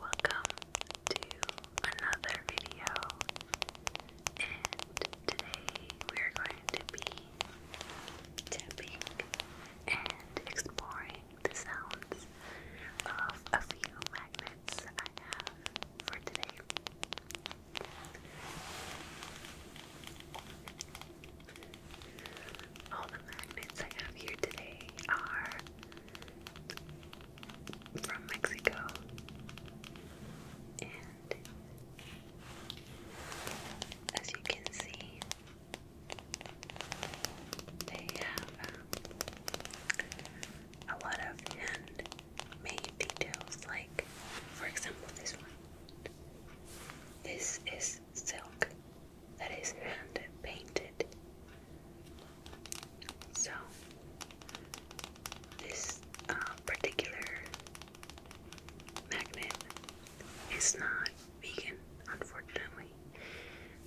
Welcome to another video, and today we are going to be tapping and exploring the sounds of a few magnets I have for today. All the magnets I have here today are from Mexico and as you can see they have um, a lot of hand main details like for example this one this is silk that is hand painted so this uh, particular magnet is not vegan unfortunately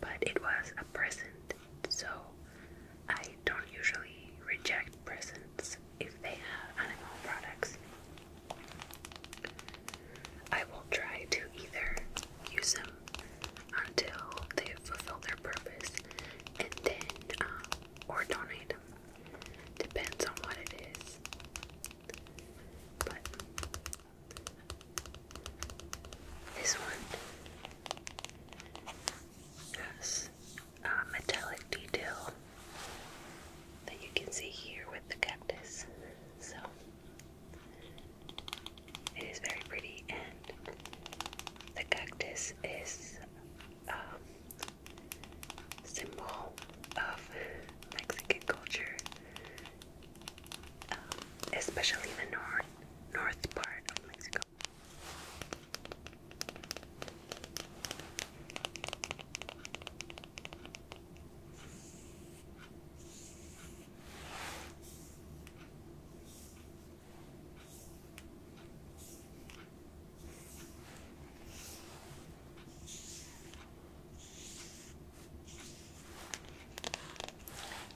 but it was a present so I don't usually reject presents if they have animal products. I will try to either use them until they fulfill their purpose and then, um, or donate them. Depends on what it is. But this one has um, metallic detail that you can see here with the cactus. So it is very pretty, and the cactus is a um, symbol of Mexican culture, um, especially the north north part of Mexico.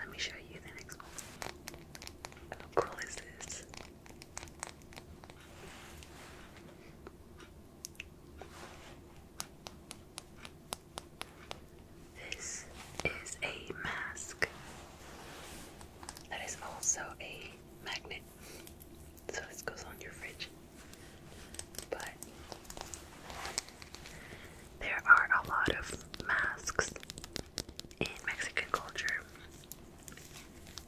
Let me show you the next one. How cool is this? This is a mask that is also a magnet, so this goes on your fridge. But there are a lot of masks in Mexican culture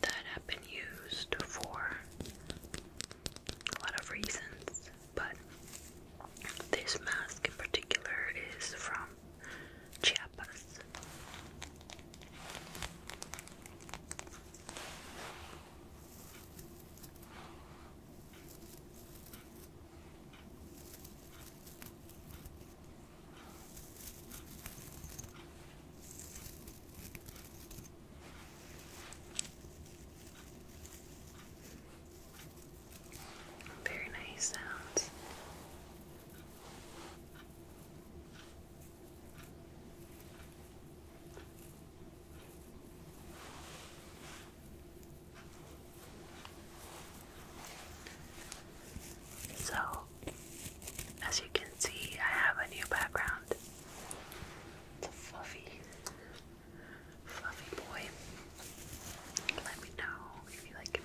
that have been used for a lot of reasons, but this mask in particular is from Chiapas. Very nice sounds. So as you can see, I have a new background. It's fluffy, fluffy boy. Let me know if you like him.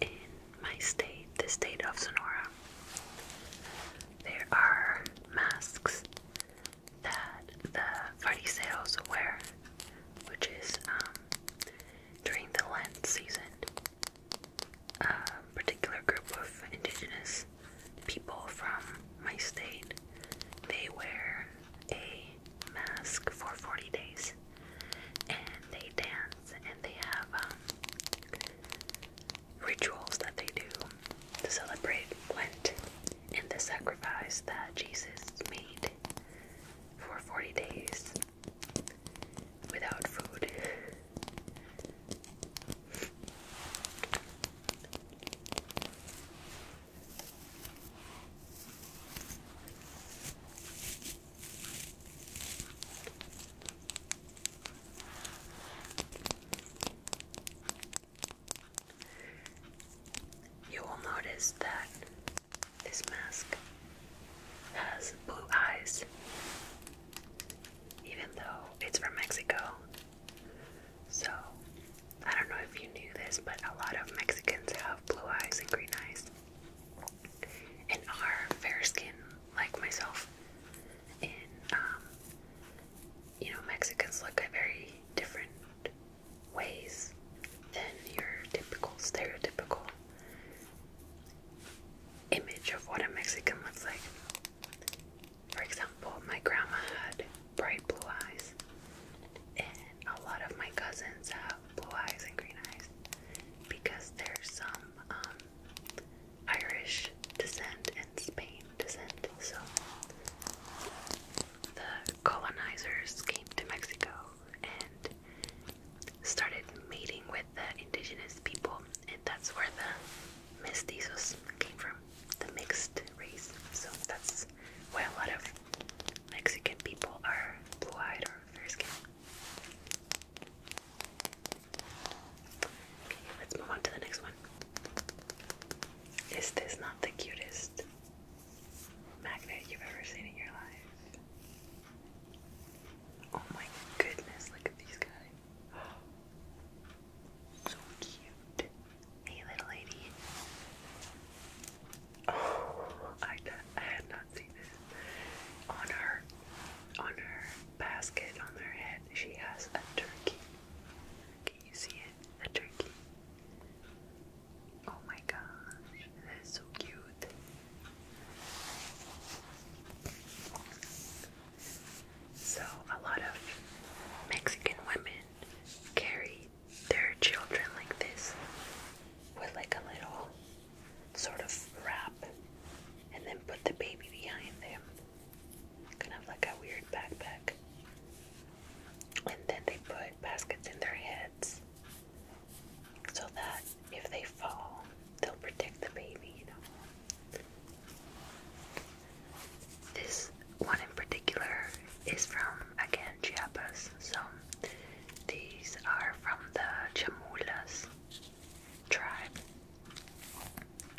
In my state, the state of Sonora, there are masks that the fariseos wear, which is um, during the Lent season. A particular group of indigenous people from my state, they wear a mask for 40 days and they dance and they have um, rituals that they do to celebrate Lent and the sacrifice that Jesus made for 40 days without food. You will notice that this mask has blue eyes, even though it's from Mexico. So, I don't know if you knew this, but a lot of Mexicans have blue eyes and green eyes and are fair skin like myself. And, um, you know, Mexicans look at very different ways than your typical, stereotypical image of what a Mexican looks like. For example, my grandma had bright blue eyes, and a lot of my cousins have blue eyes and green eyes because there's some um, Irish descent and Spain descent. So the colonizers came to Mexico and started mating with the indigenous people, and that's where the mestizos came from, the mixed race. So that's why a lot of Mexican people are blue-eyed or fair-skinned. Okay, let's move on to the next one. Is this not the cutest magnet you've ever seen in your life? Oh my goodness, look at these guys. So cute. Hey, little lady. I, had not seen this. On her, on her basket, on her head, she has a turkey. Can you see it? A turkey. Oh my gosh, that is so cute. So, a lot of Mexican women carry there are children like this with like a little sort of wrap and then put the baby behind them. Kind of like a weird backpack. And then they put baskets in their heads so that if they fall, they'll protect the baby, This one in particular is from again Chiapas. So these are from the Chamulas tribe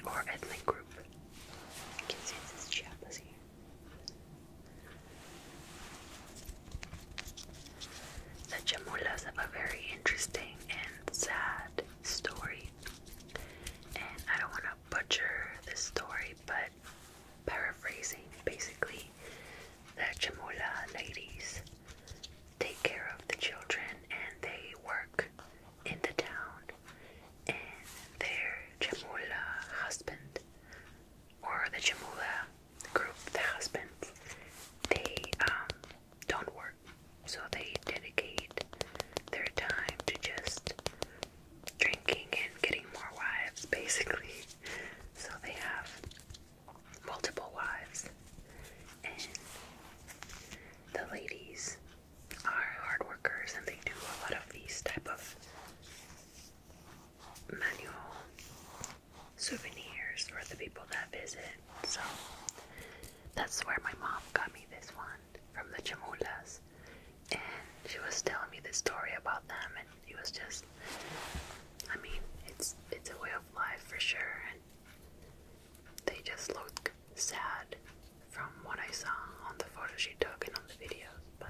or ethnic group. You can see this is here. The Chamulas have a very interesting and sad story, and I don't want to butcher this story, but paraphrasing basically, the Chamula ladies take care of the children and they work in the town, and their Chamula husband or the Chamula group, the husbands, they um, don't work, so they dedicate their time to just drinking and getting more wives, basically. So they have multiple wives, and the ladies are hard workers, and they do a lot of these type of manual souvenirs for the people that visit. So that's where my mom got me this one from the Chamulas, and she was telling me the story about them and he was just I mean, it's it's a way of life for sure and they just look sad from what I saw on the photos she took and on the videos, but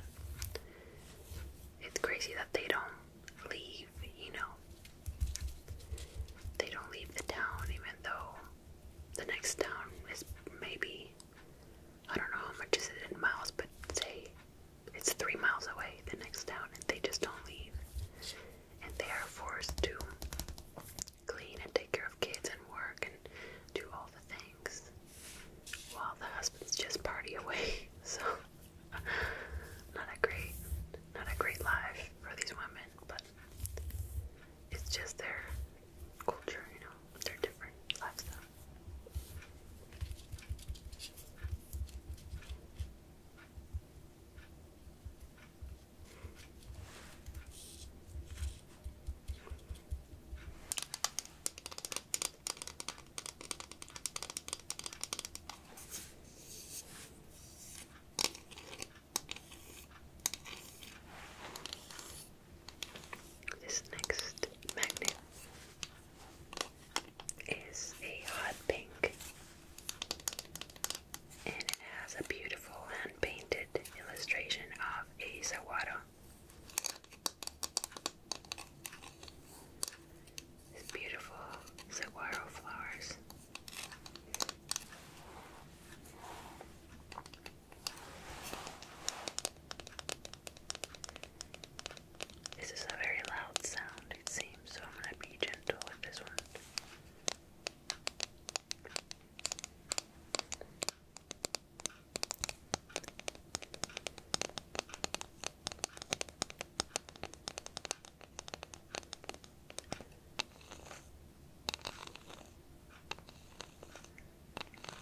it's crazy that they don't leave, you know. They don't leave the town even though the next town is maybe I don't know how much is it in miles, but say it's three miles away, the next town, and they just don't leave. And they are forced to clean and take care of kids and work and do all the things while the husbands just party away. So, not a great, not a great life for these women, but it's just their culture, you know, their different lifestyle. This next magnet is a hot pink and it has a beautiful hand painted illustration of a sawada. These beautiful saguaro flowers. This is a very loud sound, it seems, so I'm going to be gentle with this one.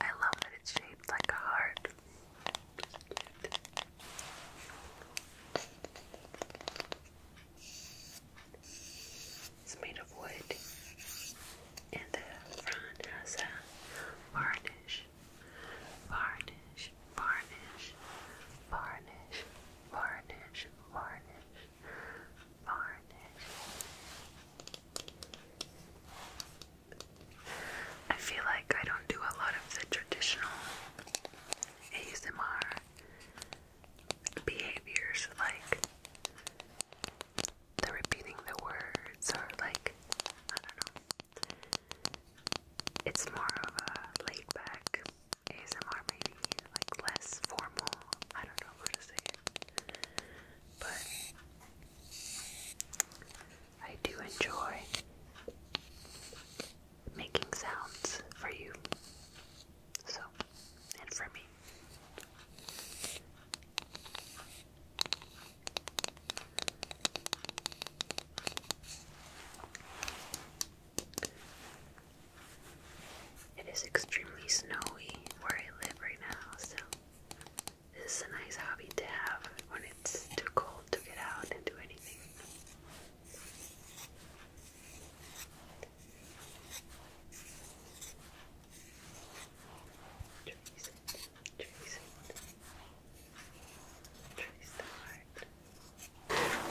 I love that it's shaped like a heart. It's made of wood, and the front has a varnish, varnish, varnish, varnish, varnish, varnish, I feel like I don't do a lot of the traditional ASMR behaviors like the repeating the words or like I don't know. It's more of a laid back ASMR like less formal. I don't know how to say But I do enjoy making sounds for you. So, and for me. It is extremely snowy where I live right now, so this is a nice hobby to have when it's too cold to get out and do anything.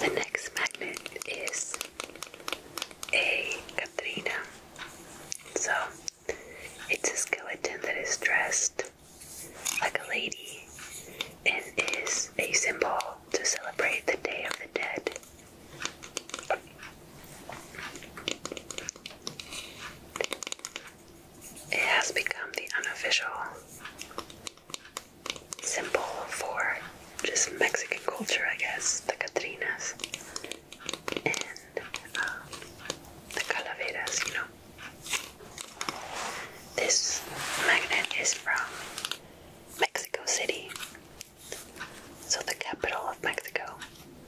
The next magnet is a Katrina. So it's a skeleton that is dressed like a lady and is a symbol to celebrate the Day of the Dead. It has become the unofficial symbol for just Mexican culture, I guess, the Catrinas and um, the Calaveras, you know. This magnet is from Mexico City, so the capital of Mexico,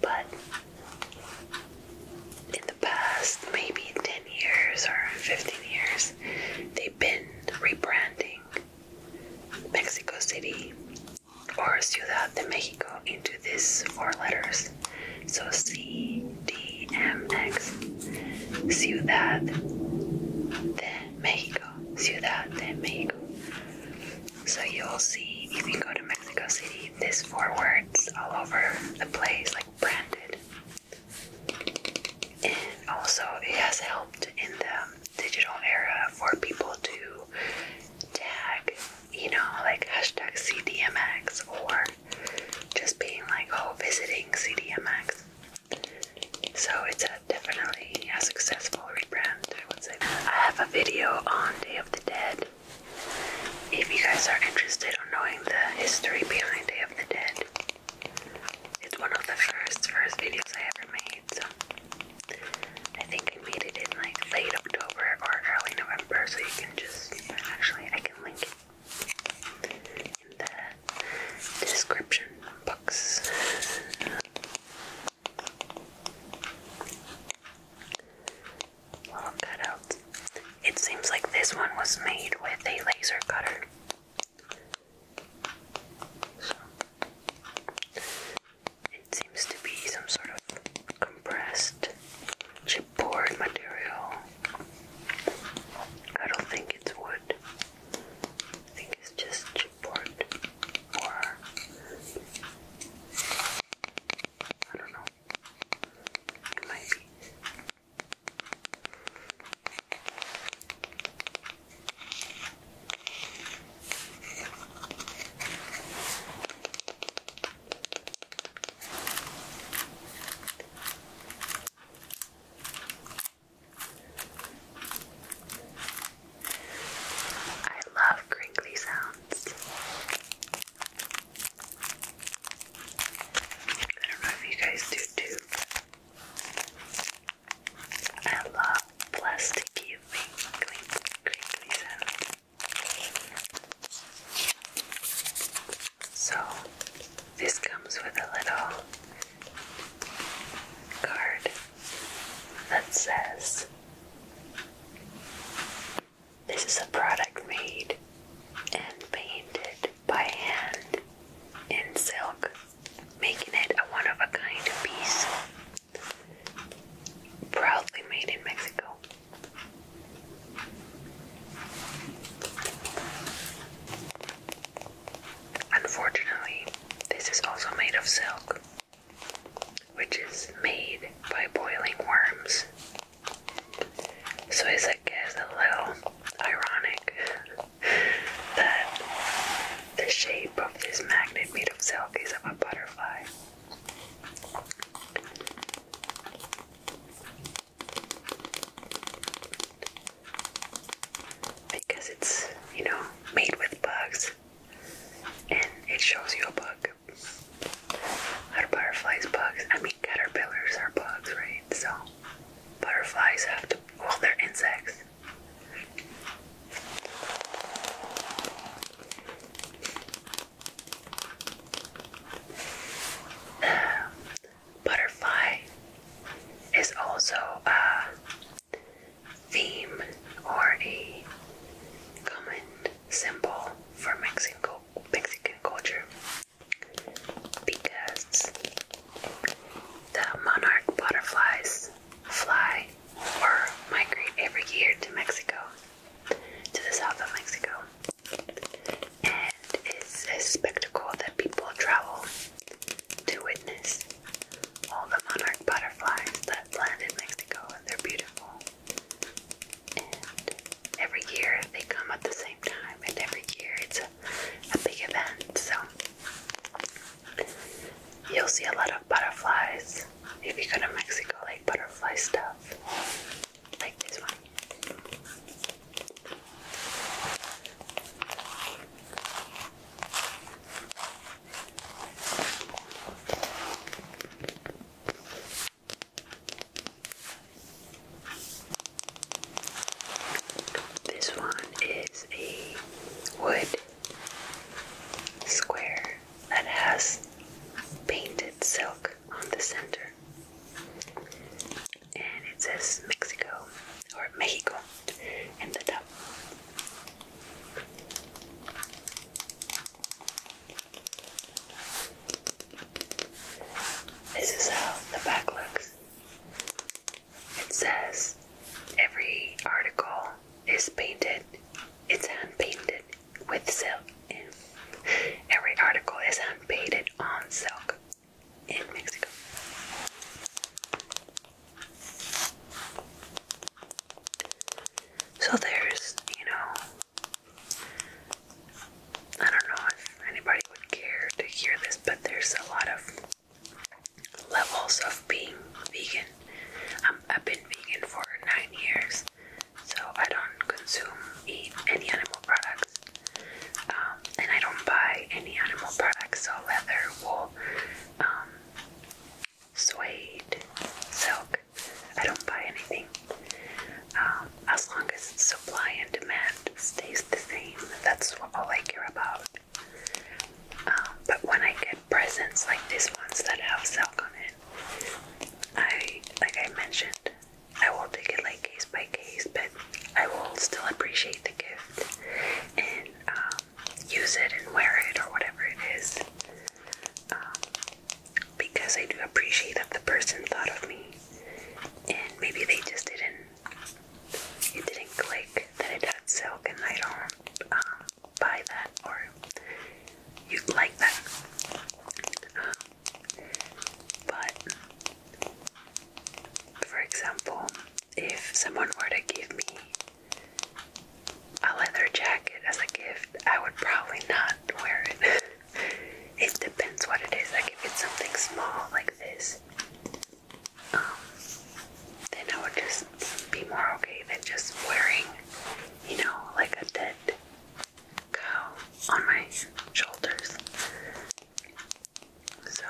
but in the past maybe 10 years or 15 years, they've been rebranding Mexico City or Ciudad de Mexico into these four letters. So C D M X Ciudad de Mexico. Ciudad de Mexico. So you'll see if you go to Mexico City, this four words all over the place, like branded. And also, it has helped in the digital era for people to tag, you know, like hashtag CDMX or just being like, oh, visiting CDMX. So it's definitely a successful rebrand, I would say. I have a video on Day of the Dead. If you guys are interested in knowing the history behind Day of the Dead, it's one of the first first videos I ever made. So I think I made it in like late October or early November, so you can just actually I can link it in the description box. Little cutouts. It seems like this one was made with a laser cutter. So, it seems to be some sort of compressed chipboard material. I don't think it's wood. I think it's just chipboard or I don't know. It I love crinkly sounds. I don't know if you guys do too. I love plasticky wrinkly, crinkly sound. So this comes with a little card that says this is a product made and painted by hand in silk making it a one of a kind piece. Proudly made in Mexico. Unfortunately, this is also made of silk, which is made by boiling worms. So, it's a little ironic that the shape of this magnet made of silk is of a butterfly. Because it's, you know, made with bugs and it shows you a bug. Are butterflies bugs? I mean, caterpillars are bugs, right? So, butterflies have to, well, they insects. Butterfly is also a theme or a common symbol for Mexico Mexican culture because the monarch butterflies fly or migrate every year to Mexico, to the south of Mexico. And it's a spectacle that people travel to witness. All the monarch butterflies that land in Mexico, and they're beautiful. And every year they come at the same time, and every year it's a big event. So You'll see a lot of butterflies if you go to Mexico, like butterfly stuff, like this one. This one is a wood square that has painted silk on the center. And it says Mexico or Mexico in the top. This is how the back looks. It says every article is painted, it's hand painted with silk. Every article is hand painted on silk in Mexico. So there's, you know, I don't know if anybody would care to hear this, but there's a lot of levels of being vegan. Um, I've been vegan for nine years, so I don't consume, eat any animal products, um, and I don't buy any animal products, so leather, wool, um, suede, silk. I don't buy anything. as long as supply and demand stays the same, that's all I care about. Um, but when I get presents like these ones that have silk on it, I like I mentioned, I will take it like case by case, but I will still appreciate the gift and um, use it and wear it or whatever it is. Um, because I do appreciate that the person thought of me, and maybe they just didn't it didn't click that it had silk, and I don't um, buy that or you like that. But for example, if someone were to give me a leather jacket as a gift, I would probably not wear it. it depends what it is. I if it's something small like this, then I would just be more okay than just wearing, you know, like a dead cow on my shoulders. So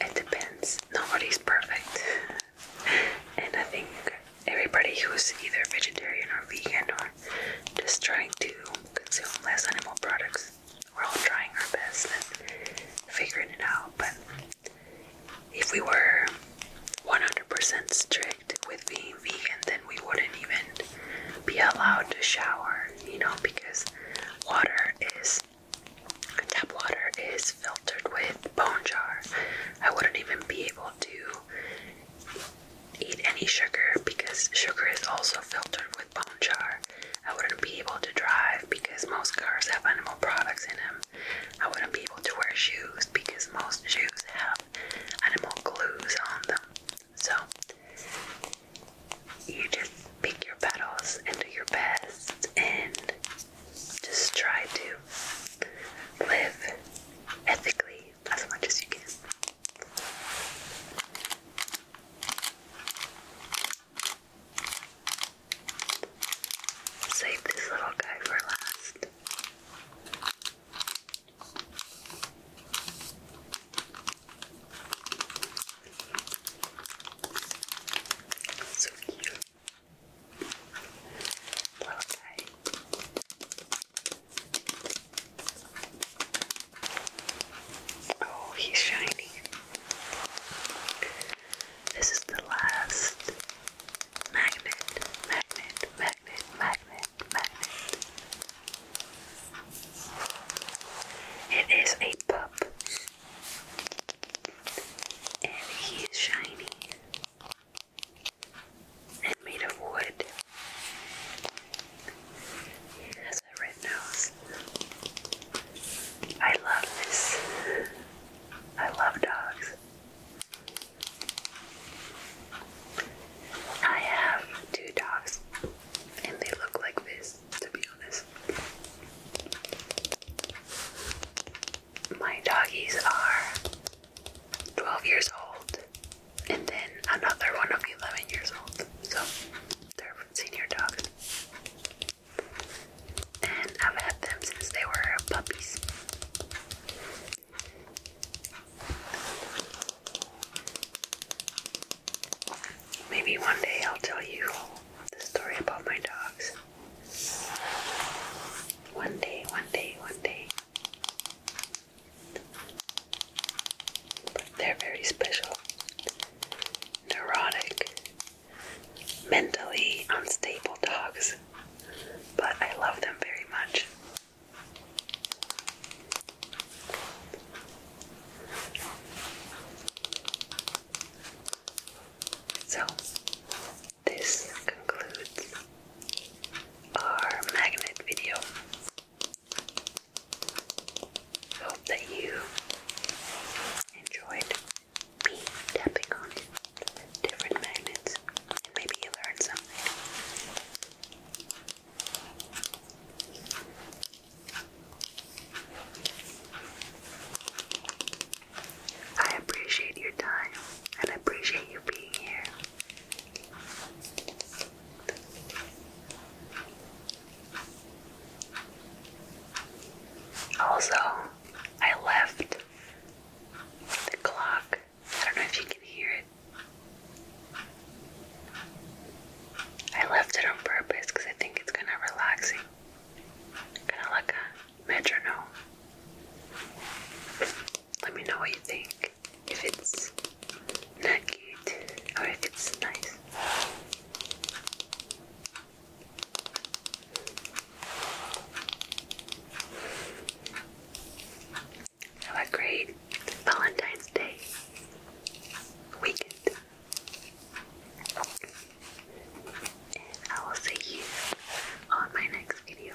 it depends. Nobody's perfect. and I think everybody who's either vegetarian or vegan or just trying to consume less animal products we're all trying our best and figuring it out. But if we were 100% strict with being vegan, then we wouldn't even be allowed to shower, you know, because water is tap water is filtered with bone jar. I wouldn't even be able to eat any sugar because sugar is also filtered with bone jar. I wouldn't be able to drive because most cars have animal products in them. I wouldn't be able to wear shoes because most shoes have animal glues on them. So, you just pick your battles and do your best and just try to live ethically as much as you can. Save this little guy for last. So cute. Little guy. Oh, he's shiny. This is the last magnet, magnet, magnet, magnet, magnet. It is a pup. And he's is shiny and made of wood has red nose. I love this. I love dogs. I have two dogs, and they look like this, to be honest. My doggies are 12 years old, and then another one of 11 years old. So they're senior dogs, And I've had them since they were puppies. Maybe one day I'll tell you the story about my dogs. One day, one day, one day. But they're very special. Neurotic, mentally unstable dogs, but I love them very much. So, this concludes our magnet video. Hope that you enjoyed me tapping on different magnets and maybe you learned something. I appreciate your time and I appreciate you being here. Also, I left the clock. I don't know if you can hear it. I left it on purpose because I think it's kind of relaxing. Kind of like a metronome. Let me know what you think if it's not cute or if it's nice. Have a great Valentine's Day weekend. I will see you on my next video.